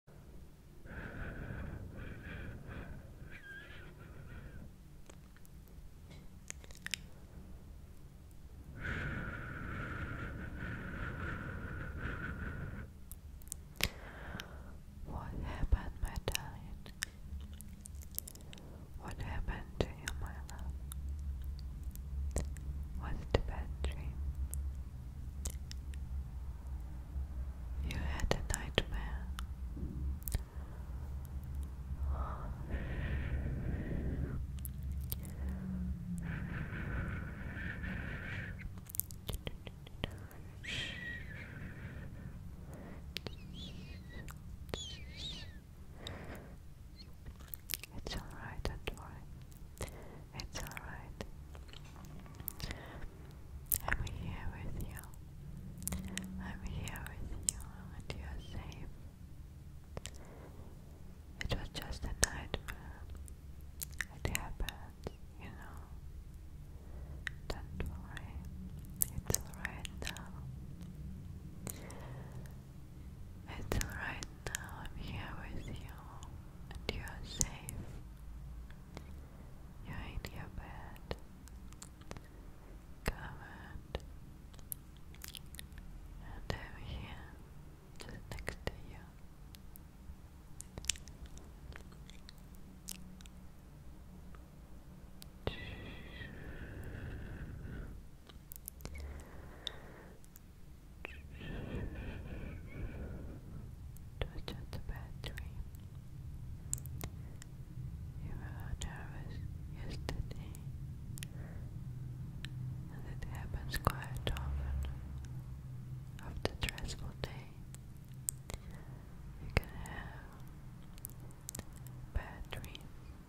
What happened, my darling? What happened to you, my love? Was it bad dream? You had a nightmare. It's alright, do it's alright. I'm here with you. I'm here with you and you're safe. It was just a nightmare. It happened, you know. Don't worry. It's alright now. It's alright now. I'm here with you and you are safe. You're in your bed, covered, and I'm here, just next to you. Touch at the battery. You were nervous yesterday, and it happens quite often after stressful day. You can have bad dreams.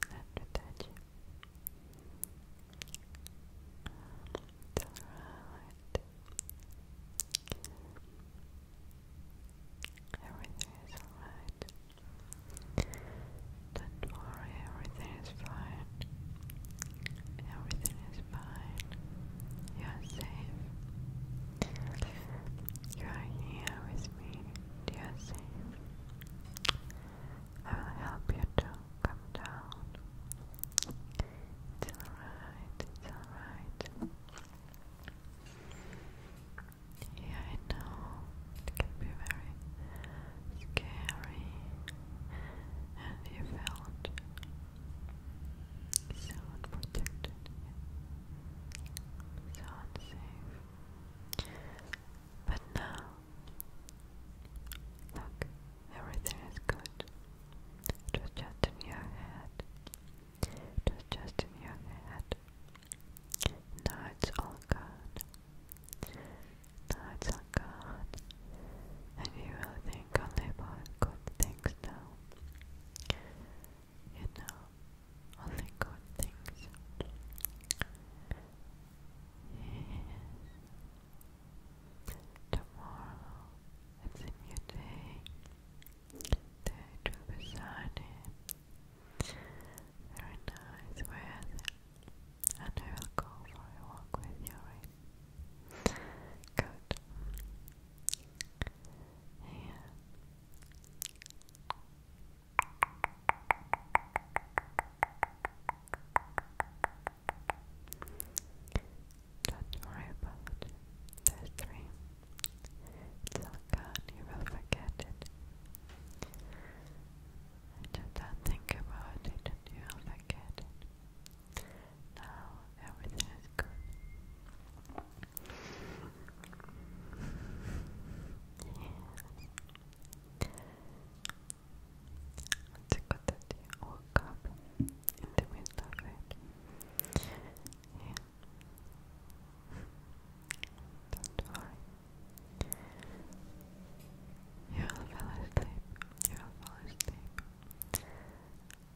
after that you um, right. Everything is alright. Don't worry, everything is fine. Everything is fine. You are safe. You are here with me. Dear Sea, I will help you to come down. It's alright, it's alright. Yeah, I know it can be very scary, and you felt so unprotected. Yeah. So unsafe. But now, look, everything is good. It was just in your head. It was just in your head. Now it's all gone. Now it's all gone. And you will think only about good things now you know, only good things. Tomorrow it's a new day. Day to be sunny. Very nice weather. And I will go for a walk with you, Good. Yeah. Don't worry about this dream. It's all gone, you will forget it. And don't think about it and you'll forget it. Now everything is good. Yes. It's good that you woke up in the middle of it. Yeah. Don't You'll asleep. You'll asleep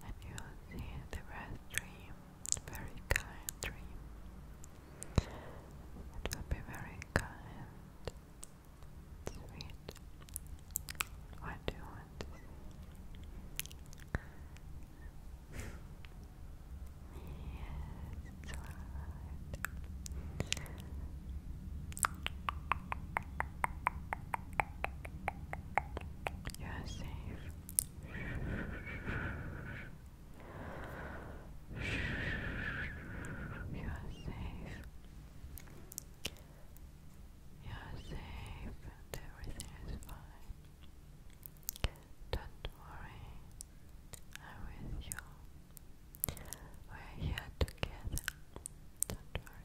and you will see the rest dream, very kind dream. It will be very kind, sweet. What do you want to see? yes, You're safe. You are safe. You are safe and everything is fine. Don't worry, I'm with you. We're here together. Don't worry.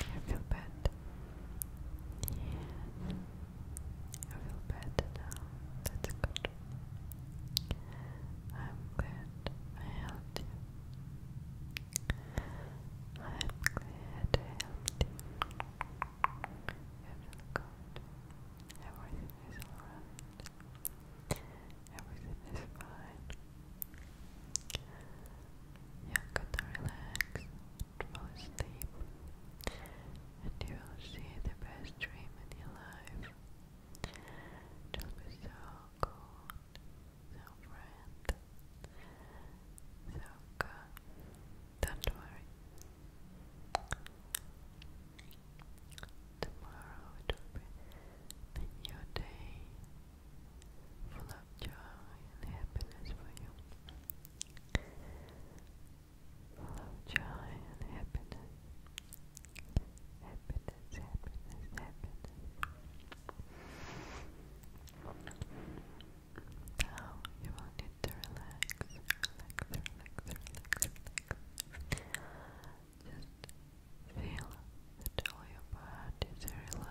I feel bad. I feel better now. That's good. I'm glad I helped you. I'm glad I helped you. I feel good. Everything is alright. Everything is fine. You're gonna relax, fall asleep, and you will see the best dream in your life. It'll be so cool, so friend, so good. Don't worry, Tomorrow it will be a new day full of joy and happiness for you. Full of joy and happiness. Happiness, happiness, happiness. Now you will need to relax, just feel that all your body is very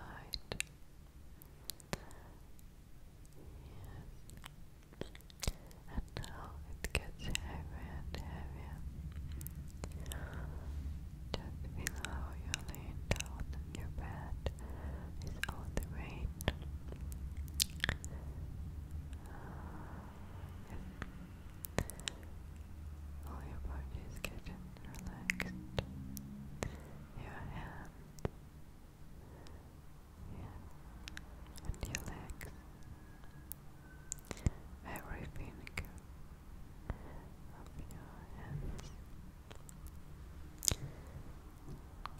And now it gets heavier and heavier. Just feel how you're laying down on your bed with all the weight. All your body is getting relaxed. Your hands, and your legs. Everything of your hands.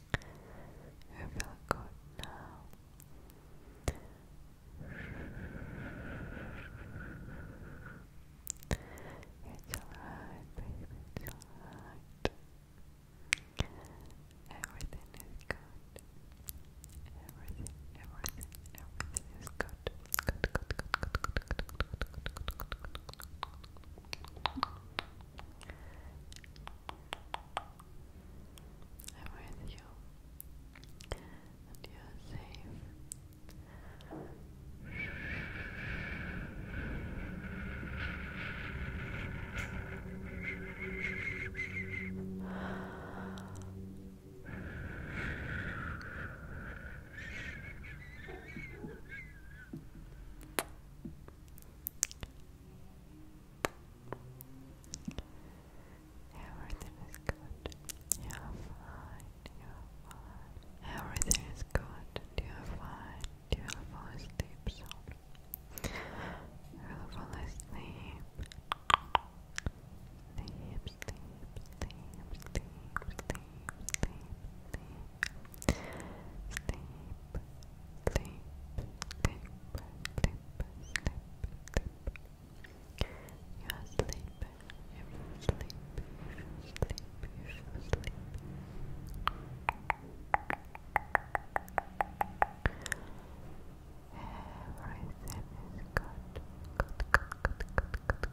I feel feeling good now. It's alright, baby, it's alright. Everything is good. Everything, everything, everything is good. Good, good, good, good, good, good, good, good, good, good, good. I'm with you, and you're safe. Everything is good. You're fine. You're fine. Everything is good. You're fine. You'll fall asleep soon. You'll fall asleep. Sleep, sleep, sleep, sleep, sleep, sleep, sleep sleep, sleep, sleep, sleep, sleep, sleep. You are sleeping, you should sleep, you Everything is good, good, good, good, good, good,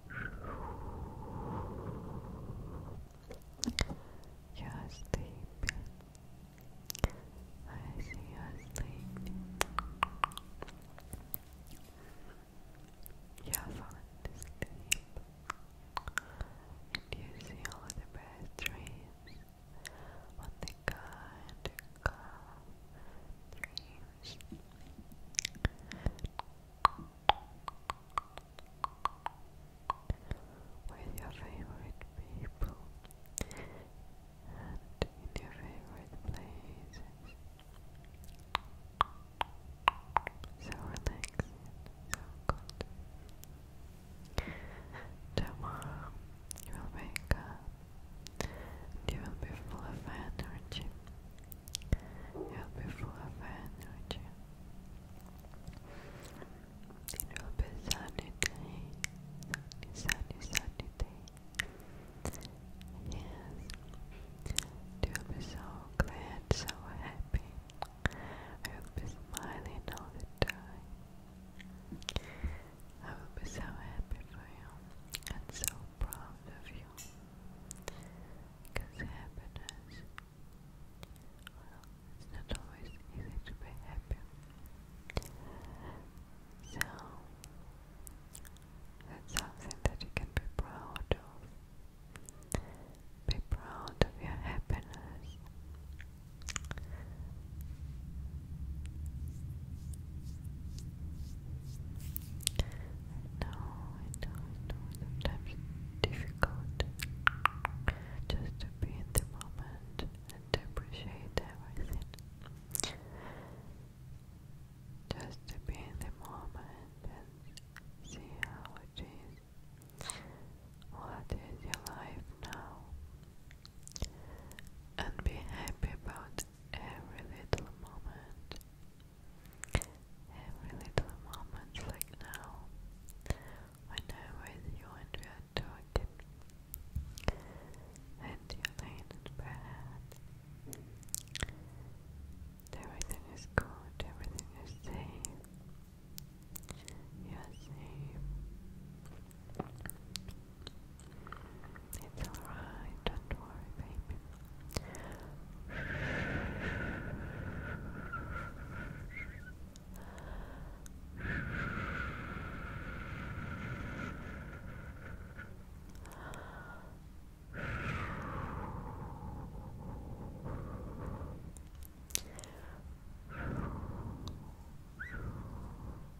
Just are asleep. I see you're asleep. You're falling And you see all the best dreams. the good, good dreams with your favorite people and in your favorite places. So relaxing, so good. Tomorrow you will wake up and you will be full of energy. Help me forever and nurture. It will be sunny day. Sunny, sunny, sunny Yes. You will be so glad, so happy. I will be smiling all the time. I will be so happy for you and so proud of you. Because happiness, well, it's not always easy to be happy. So, that's something that you can be proud of. Be proud of your happiness know, I know, sometimes difficult just to be in the moment and appreciate everything. Just to be in the moment and see how it is. What is your life now? And be happy about every little moment, every little moment, like now, when I'm with you and we are talking, and you're laying in everything is good, everything is safe, you're it's alright, don't worry, baby. Relax.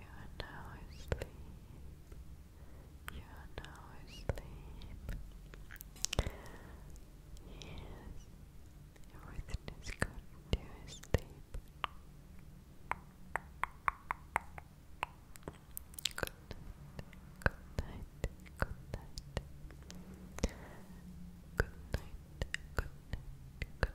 You are now asleep. You are now asleep. Yes, everything is good. You are Good night. Good night. Good night. Good night. Good